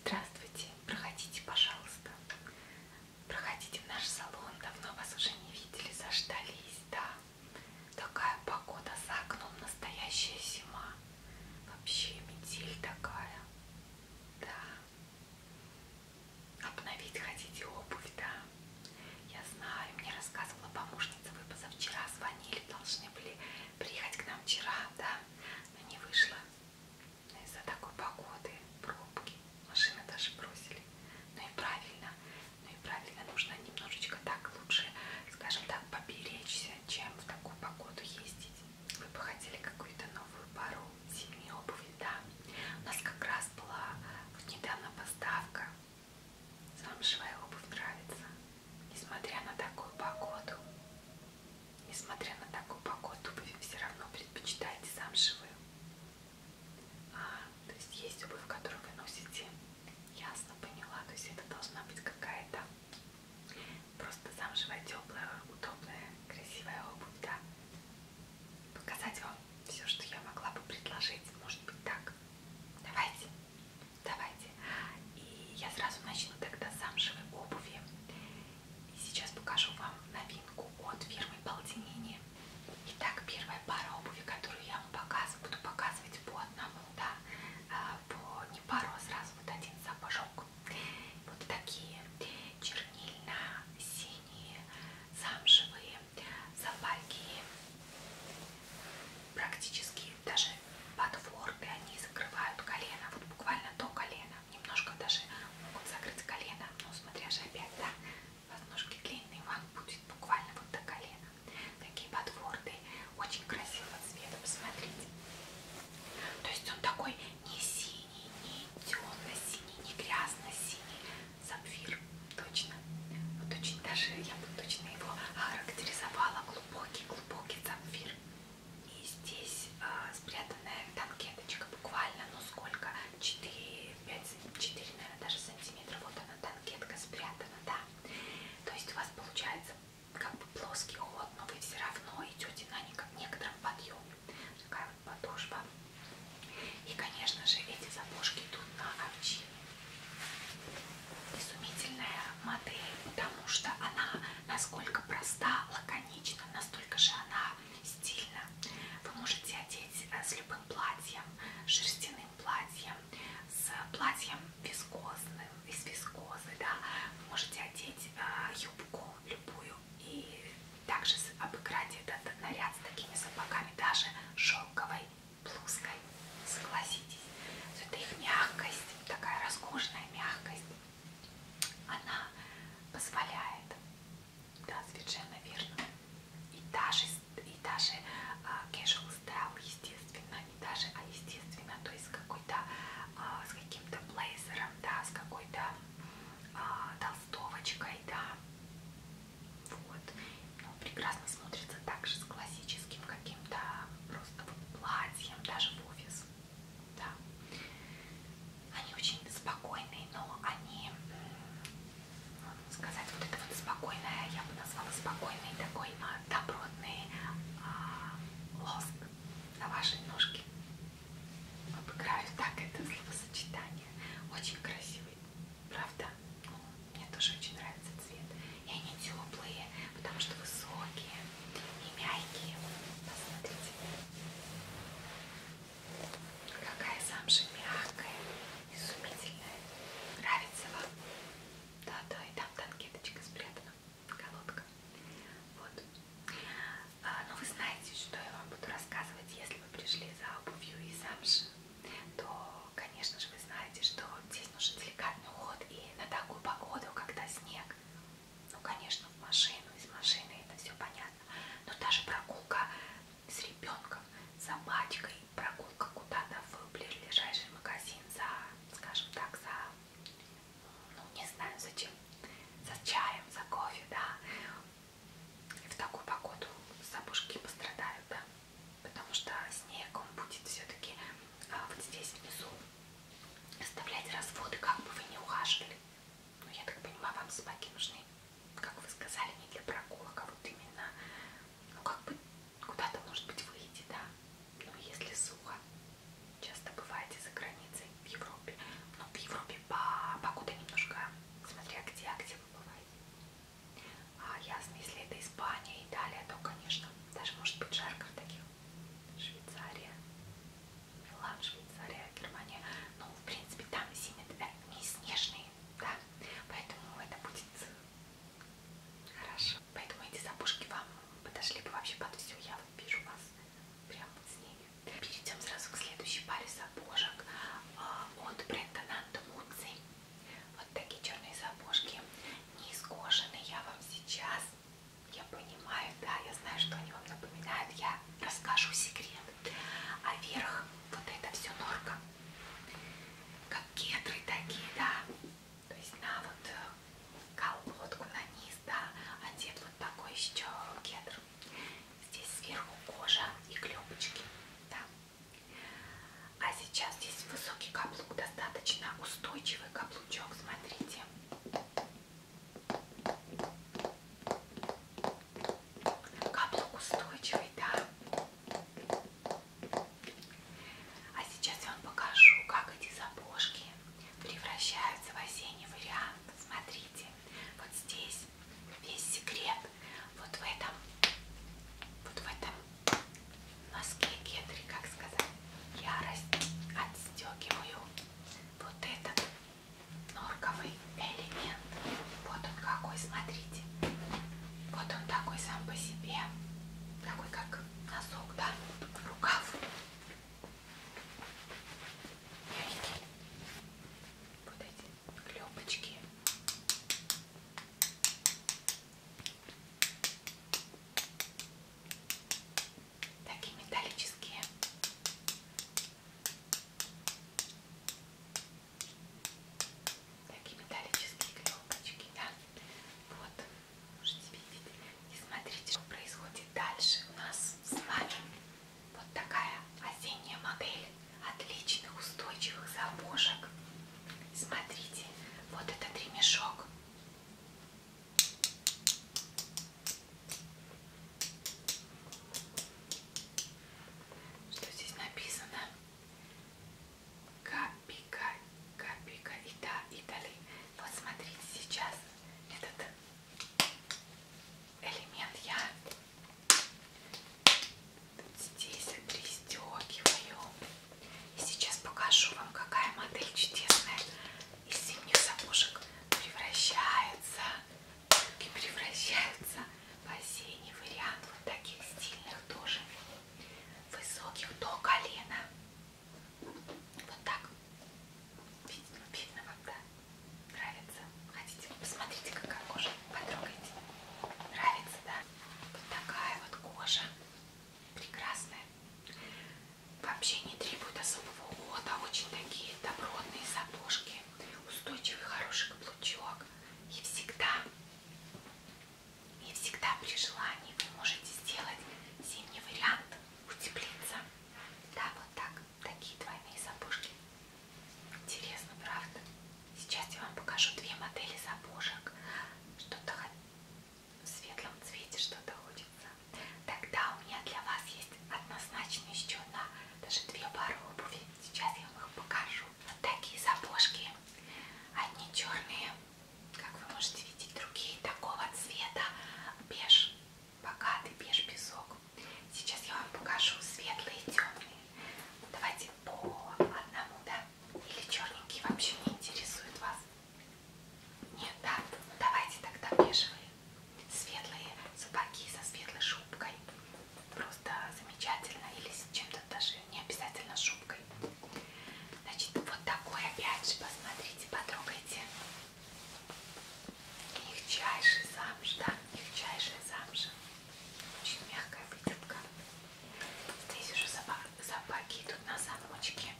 Здравствуйте, проходите, пожалуйста. Проходите в наш салон, давно вас уже не видели, заждались, да. Такая погода за окном, настоящая зима. Вообще метель такая. Да. Обновить хотите обувь, да? Я знаю, мне рассказывала помощница, вы позавчера звонили, должны были приехать к нам вчера, да? Но не вышло из-за такой погоды, пробки, машины даже бросили. Ну и правильно, ну и правильно, нужно немножечко так лучше, скажем так, поберечься, чем в такую погоду ездить. Вы бы хотели какую-то новую пару зимней обуви, да? У нас как раз была вот недавно поставка. Замшевая обувь нравится, несмотря на такую погоду. Несмотря на такую погоду, вы все равно предпочитаете замшевую. А, то есть есть обувь, которую вы носите. Ясно, поняла. То есть это должна быть какая-то просто замшевая, теплая, удобная, красивая обувь, да. Показать вам все, что я могла бы предложить. Может быть так. Давайте. Давайте. И я сразу начну тогда с замшевой обуви. И сейчас покажу вам новинку от фирмы Полтинини. Итак, первая пара обуви, которую я вам показываю, буду показывать по одному, да, а, по не пару, а сразу вот один сапожок. Вот такие чернильно-синие, замшевые собаки. Практически даже подворты, они закрывают колено, вот буквально до колена немножко даже могут закрыть колено, но смотря же опять, да, ножки длинные, вам будет буквально вот до колена. Такие подворты, очень красивого цвета, посмотрите. То есть он такой не синий, не темно-синий, не грязно-синий, сапфир, точно. Вот очень даже, я бы точно его характеризовала, глубокий-глубокий сапфир. Глубокий и здесь э, спрятанная танкеточка буквально, ну сколько, 4, 5, 4, наверное, даже сантиметра. Вот она, танкетка спрятана, да. То есть у вас получается как бы плоский ход, но вы все равно идете на некотором подъеме. Такая вот подошва. И, конечно же, эти сапожки идут на овчине. Изумительная модель, потому что она насколько проста, лаконична, настолько же она стильна. Вы можете одеть э, с любым платьем, шерстяным платьем, с платьем вискозным, из вискозы, да. Вы можете одеть э, юбку любую и также обыграть этот наряд с такими сапогами, даже шелковой блузкой. Согласитесь, это их мягкость, такая роскошная мягкость она позволяет, да, совершенно верно, и даже, и даже uh, casual style, естественно, не даже, а естественно, то есть какой-то, uh, с каким-то блейзером, да, с какой-то uh, толстовочкой, да, вот, ну, прекрасно смотрится также с классическим каким-то просто вот платьем, даже в офис. Да. Они очень спокойные, но они, ну, сказать, вот это вот спокойное, я бы назвала спокойный такой а, добротный а, лоск на вашей ножке. Обыграю так это словосочетание. Очень красивый, правда? Ну, мне тоже очень нравится цвет. И они теплые, потому что высокие и мягкие. Посмотрите, какая замша мягкая, изумительная. Нравится вам? Да-да, и там танкеточка спрятана, колодка. Вот. А, но ну вы знаете, что я вам буду рассказывать, если вы пришли за обувью и замши, то, конечно же, вы знаете, что здесь нужен деликатный уход, и на такую погоду, когда снег, ну конечно в машину, из машины это все понятно, но даже прогулка с ребенком, собачкой, прогулка куда-то в ближайший магазин за, скажем так, за, ну не знаю зачем, за чаем, за кофе, да, и в такую погоду собушки пострадают, да, потому что снегом будет все-таки а вот здесь внизу оставлять разводы, как бы вы ни ухаживали. Ну, я так понимаю, вам собаки нужны, как вы сказали, не для прогулок, а вот именно, ну, как бы куда-то, может быть, выйти, да. Ну, если сухо, часто бываете за границей в Европе. Но в Европе погода немножко, смотря где, а где вы бываете. А, ясно, если это Испания, Италия, то, конечно, даже может быть жарко в таких Швейцария, Милан, Швейцария, Германия. Ну, в принципе, там зимит не снежные, да, поэтому это будет хорошо. Поэтому эти сапожки вам подошли бы вообще под все. Я вот вижу вас прям вот с ними. Перейдем сразу к следующей паре сапожек а, от бренда Nanto Muzzi. Вот такие черные сапожки, не искошенные. Я вам сейчас я понимаю, да, я знаю, что они вам напоминают. Я расскажу секрет. А верх, вот это все норка. Как кедры такие, да. То есть на вот э, колодку, на низ, да. Одет вот такой еще кедр. Здесь сверху кожа и клепочки, да. А сейчас здесь высокий каблук, достаточно устойчивый каблучок, смотрите. Каблук устойчивый, да? А сейчас я вам покажу, как эти сапожки превращаются в осенний вариант. Смотрите, вот здесь весь секрет. Вот в этом, вот в этом носке кедри, как сказать ярость отстегиваю вот этот норковый элемент. Вот он какой, смотрите. Вот он такой сам по себе. Такой как носок, да? Рукав. Мягкий. Вот эти клепочки такие металлические. Такие металлические клепочки, да. Вот, можете видеть. И смотрите, что происходит дальше у нас с вами. Вот такая осенняя модель отличных устойчивых забушек. Смотрите, вот этот ремешок. Что здесь написано? Капика, капика, и да, и дали. Вот смотрите, сейчас этот элемент я здесь пристегиваю. И сейчас покажу вам, какая модель чудесная из зимних сапожек превращается, брюки превращаются в осенний вариант вот таких стильных тоже, высоких до колена. Вот так. Видно, видно вам, да? Нравится? Хотите? Посмотрите, какая кожа. Потрогайте. Нравится, да? Вот такая вот кожа прекрасные. Вообще не требуют особого ухода. Очень такие добротные сапожки. Устойчивый, хороший каблучок. И всегда, и всегда при желании вы можете сделать зимний вариант утеплиться. Да, вот так. Такие двойные сапожки. Интересно, правда? Сейчас я вам покажу две модели сапожек. Что-то в светлом цвете что-то хочется, тогда у меня для вас есть однозначно еще одна, даже две пары обуви. Сейчас я вам их покажу. Вот такие сапожки. Одни черные, как вы можете видеть, другие такого цвета. Беж, богатый беж песок. Сейчас я вам покажу светлые и темные. Давайте по одному, да? Или черненькие вообще не интересуют вас. Нет, да, давайте тогда бежевые, светлые сапоги со светлой шубкой. Просто замечательно. Или с чем-то даже не обязательно шубкой. Значит, вот такой опять же, посмотрите, потрогайте. Мягчайший замш, да, мягчайшая замша. Очень мягкая выделка. Здесь уже запаки идут на замочке.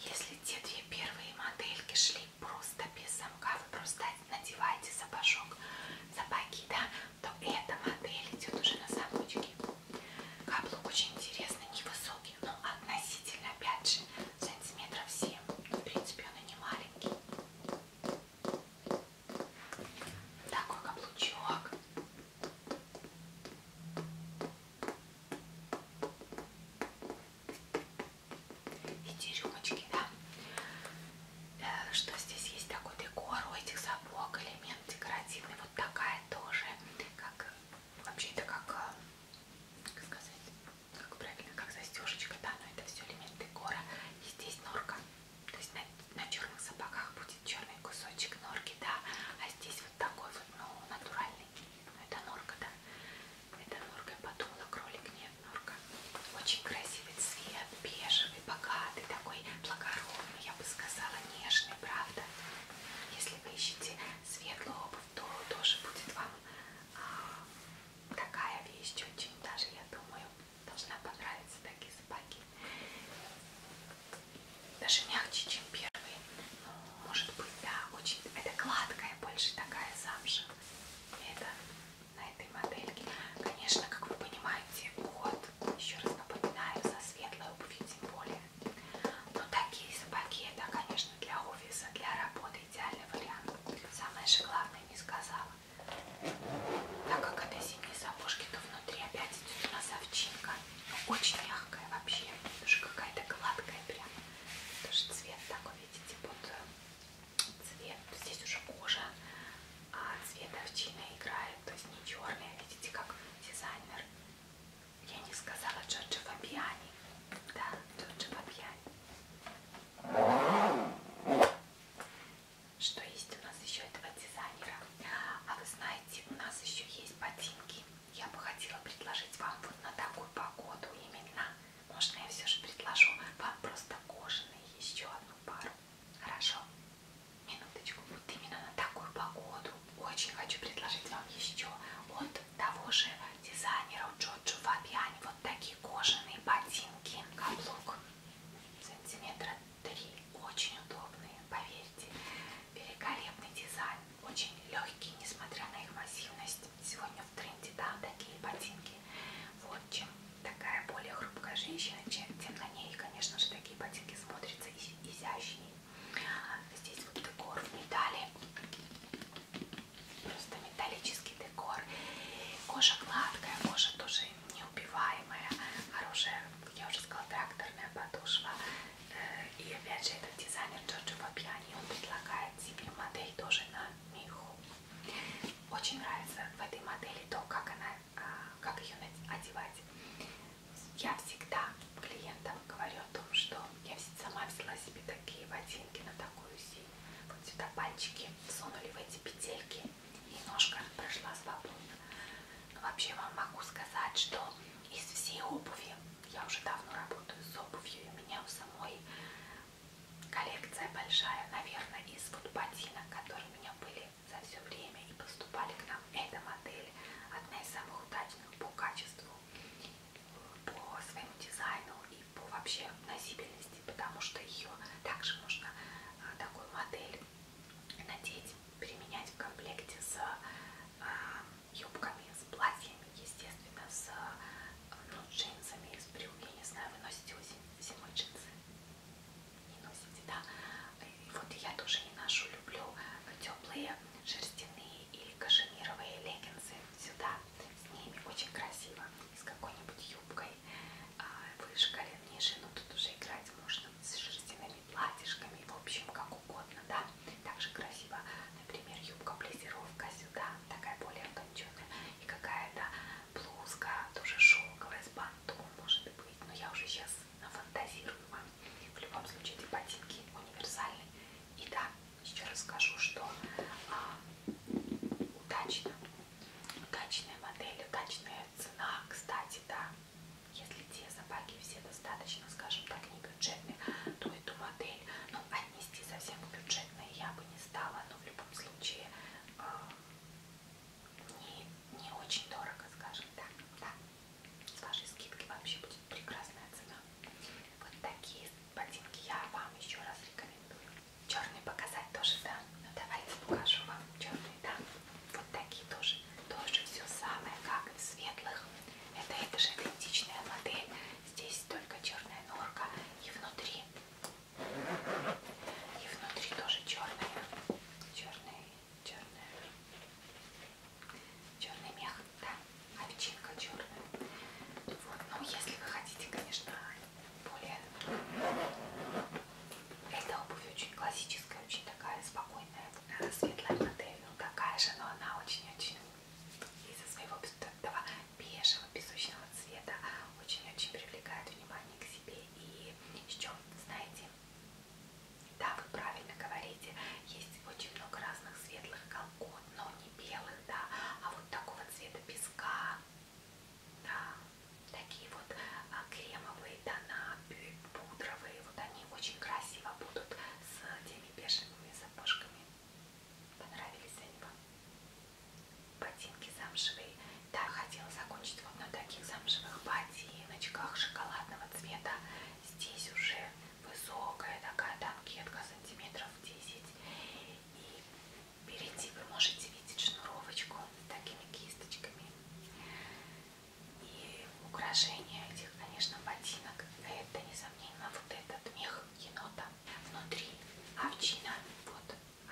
Если те две первые модельки шли просто без замка, вы просто надеваете сапожок, сапоги, да, то эта модель идет уже на замочке. Каблук очень интересный, невысокий, но относительно, опять же, сантиметров 7. В принципе, он и не маленький. Такой каблучок. Эти рюмочки, да? Э, что здесь есть такой декор у этих сапог, элемент декоративный. Вот такая тоже, как вообще это как, э, как сказать, как правильно, как застежечка, да, но это все элемент Пегора. И здесь норка. То есть на, на черных сапогах будет черный кусочек норки, да. А здесь вот такой вот, ну, натуральный. Ну, это норка, да. Это норка. Я подумала, кролик нет, норка. Очень красивый цвет, бежевый, богатый, такой благородный, я бы сказала, нежный, правда. Если вы ищете светлую обувь, то тоже будет вам а, такая вещь очень даже, я думаю должна понравиться такие собаки. Даже мягче, чем первый. Ну, может быть, да, очень... Это гладкая, больше такая замша. Это на этой модельке. Конечно, как вы понимаете, уход, еще раз напоминаю, за светлой обувью тем более. Но такие собаки, это, конечно, для офиса, для работы идеальный вариант. Самое же главное не сказала. Так как это зимние сапожки, то внутри опять идет у нас овчинка. Но ну, очень мягкая вообще, даже какая-то гладкая прям. Тоже цвет такой, видите, вот э, цвет. Здесь уже кожа, а цвет овчины играет, то есть не черный, а видите, как дизайнер. Я не сказала Джорджи Фабиани. Да, Джорджи Фабиани. Что есть у нас еще этого дизайнера? А вы знаете, у нас еще есть ботинки. Я бы хотела предложить вам вот на такую погоду именно. Можно я все же предложу вам просто кожаные еще одну пару. Хорошо? Минуточку. Вот именно на такую погоду. Очень хочу предложить вам еще от того же дизайнера Джорджо Фабиани вот такие кожаные ботинки ботинки, каблук сантиметра 3, очень удобные, поверьте, великолепный дизайн, очень легкий, несмотря на их массивность. Сегодня в тренде, да, такие ботинки. Вот чем такая более хрупкая женщина, чем, тем на ней, конечно же, такие ботинки смотрятся изящнее. Здесь вот декор в металле. Просто металлический декор. Кожа гладкая, кожа тоже неубиваемая. Хорошая, я уже сказала, тракторная подушва. Э, и опять же, этот дизайнер Джорджо Папьяни, он предлагает себе модель тоже на меху. Очень нравится в этой модели то, как она, а, как ее одевать. Я всегда клиентам говорю о том, что я сама взяла себе такие ботинки на такую зиму вот сюда пальчики сунули в эти петельки и ножка прошла свободно. Но ну, вообще вам могу сказать, что из всей обуви, я уже давно работаю с обувью, и у меня у самой коллекция большая, наверное, из вот ботинок, которые у меня были за все время и поступали к нам. Эта модель одна из самых удачных по качеству, по своему дизайну и по вообще носибельности, потому что ее также можно а, такую модель надеть, применять в комплекте с а, юбками, с платьями, естественно, с ну, джинсами, с брюками, я не знаю, вы носите зимой джинсы? Не носите, да? И вот я тоже не ношу, люблю теплые шерстяные или кашемировые леггинсы сюда, с ними очень красиво, с какой-нибудь юбкой а, выше колен, ниже, но тут уже играть можно с шерстяными платьишками, в общем, как угодно, да. Также красиво, например, юбка-плезировка сюда, такая более утонченная, и какая-то блузка, тоже шелковая, с бантом, может быть, но я уже сейчас нафантазирую вам. В любом случае, эти ботинки универсальны. И да, еще раз скажу, что а, удачно Качественные модели, качественная цена, кстати, да. Если те собаки все достаточно, скажем так, не бюджетные, то эту модель, ну, отнести совсем к бюджетной я бы не стала, но в любом случае э, не, не очень дорого, скажем так, да. С вашей скидки вообще будет прекрасная цена. Вот такие ботинки я вам еще раз рекомендую. Черный показать тоже, да? Ну давайте покажу вам черный, да? Вот такие тоже. Тоже все самое, как в светлых. Это, это же идентичная модель. Здесь только черная норка. И внутри. И внутри тоже черная. Черный, черная. Черный мех, да? Овчинка черная. Вот, ну если вы хотите, конечно, более эта обувь очень классическая, очень такая спокойная, э, светлая модель, такая же, но она очень-очень из-за своего этого бежевого, песочного цвета очень-очень привлекает внимание к себе. И еще, знаете, да, вы правильно говорите, есть очень много разных светлых колгот, но не белых, да, а вот такого цвета песка, да, такие вот а, кремовые тона, пудровые, вот они очень красиво будут с теми бежевыми сапожками. Понравились они вам? Ботинки замшевые. Да, хотела закончить вот на таких замшевых ботиночках шоколадного цвета. Здесь уже высокая такая танкетка сантиметров 10 и Впереди вы можете видеть шнуровочку с такими кисточками. И украшение этих, конечно, ботинок. Это, несомненно, вот этот мех енота. Внутри овчина. Вот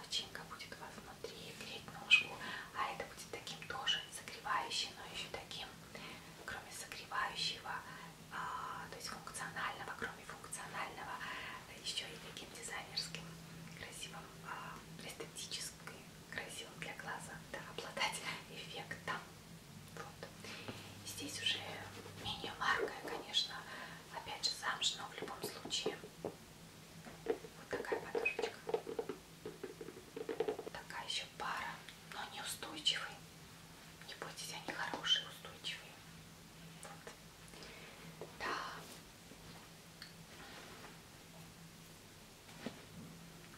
овчинка будет у вас внутри греть ножку. А это будет таким тоже согревающим, но еще таким, кроме согревающего, а, то есть функционального, кроме функционального функционального, еще и таким дизайнерским, красивым, а, эстетическим, красивым для глаза, да, обладать эффектом. Вот. Здесь уже менее маркая, конечно, опять же замш, но в любом случае вот такая подушечка. Такая еще пара, но неустойчивый. Не бойтесь, они хорошие, устойчивые. Вот. Да.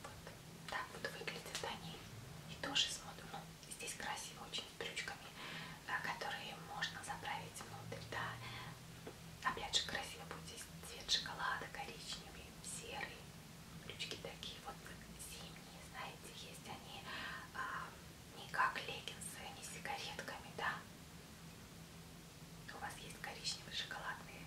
Вот так вот выглядят они. И тоже смотрю, ну, здесь красиво очень с брючками, э, которые можно заправить внутрь, да. Опять же красиво будет здесь цвет шоколада, коричневый, серый. Брючки такие вот зимние, знаете, есть они а, не как леггинсы, не сигаретками, да? У вас есть коричневые шоколадные,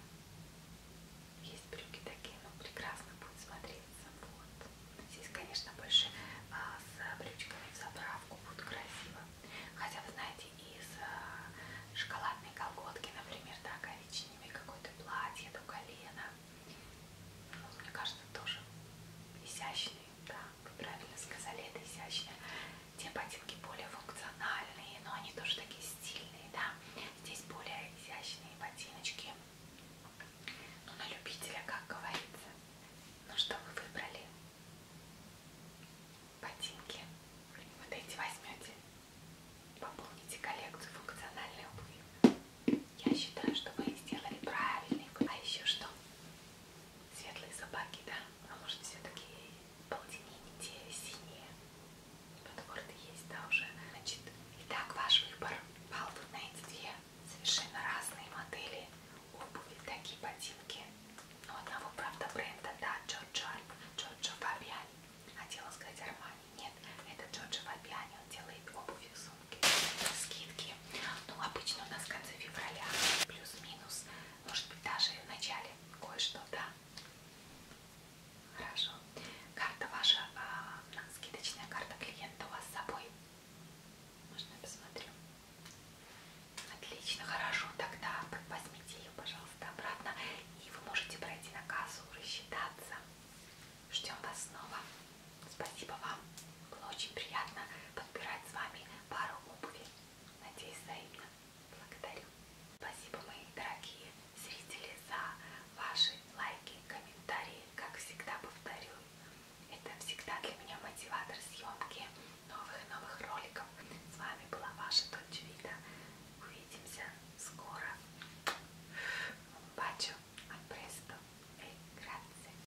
есть брюки такие, но ну, прекрасно будет смотреться. Вот. Здесь, конечно, больше а, с брючками в заправку будет красиво. Хотя, вы знаете, из а, шоколадной колготки, например, да, коричневые, какое-то платье до колена. Ну, мне кажется, тоже изящный, да вы правильно сказали, это изящно. Те ботинки более функциональные, но они тоже такие стильные, да. Здесь более изящные ботиночки. Ну, на любителя, как говорится. Ну что вы выбрали? Ботинки. Вот эти возьмете. Пополните коллекцию функциональной обуви. Я считаю, что вы сделали правильный. А еще что? светлые собаки, да? Но а может все-таки полтиненькие, синие. Подворты есть, да, уже. Значит, итак, ваш выбор пал вы на эти две совершенно разные модели обуви, такие ботинки. Но ну, одного, правда, бренда, да, Джорджо, Джорджо Фабиани. Хотела а сказать Армани, нет, это Джорджо Фабиани, он делает обувь с скидки. Ну, обычно у нас в конце февраля плюс-минус, может быть, даже в начале кое-что, да? Хорошо. Карта ваша, э, скидочная карта клиента у вас с собой. Можно я посмотрю? Отлично, хорошо. Тогда возьмите ее, пожалуйста, обратно. И вы можете пройти на кассу, рассчитаться. Ждем вас снова. Спасибо вам. Было очень приятно подбирать с вами пару обуви. Надеюсь, взаимно. Благодарю. Спасибо, мои дорогие зрители, за ваши лайки, комментарии. Как всегда повторю, это всегда для меня мотиватор съемки новых и новых роликов. С вами была ваша Дочь Вита. Увидимся скоро. Un bacio, al presto e grazie.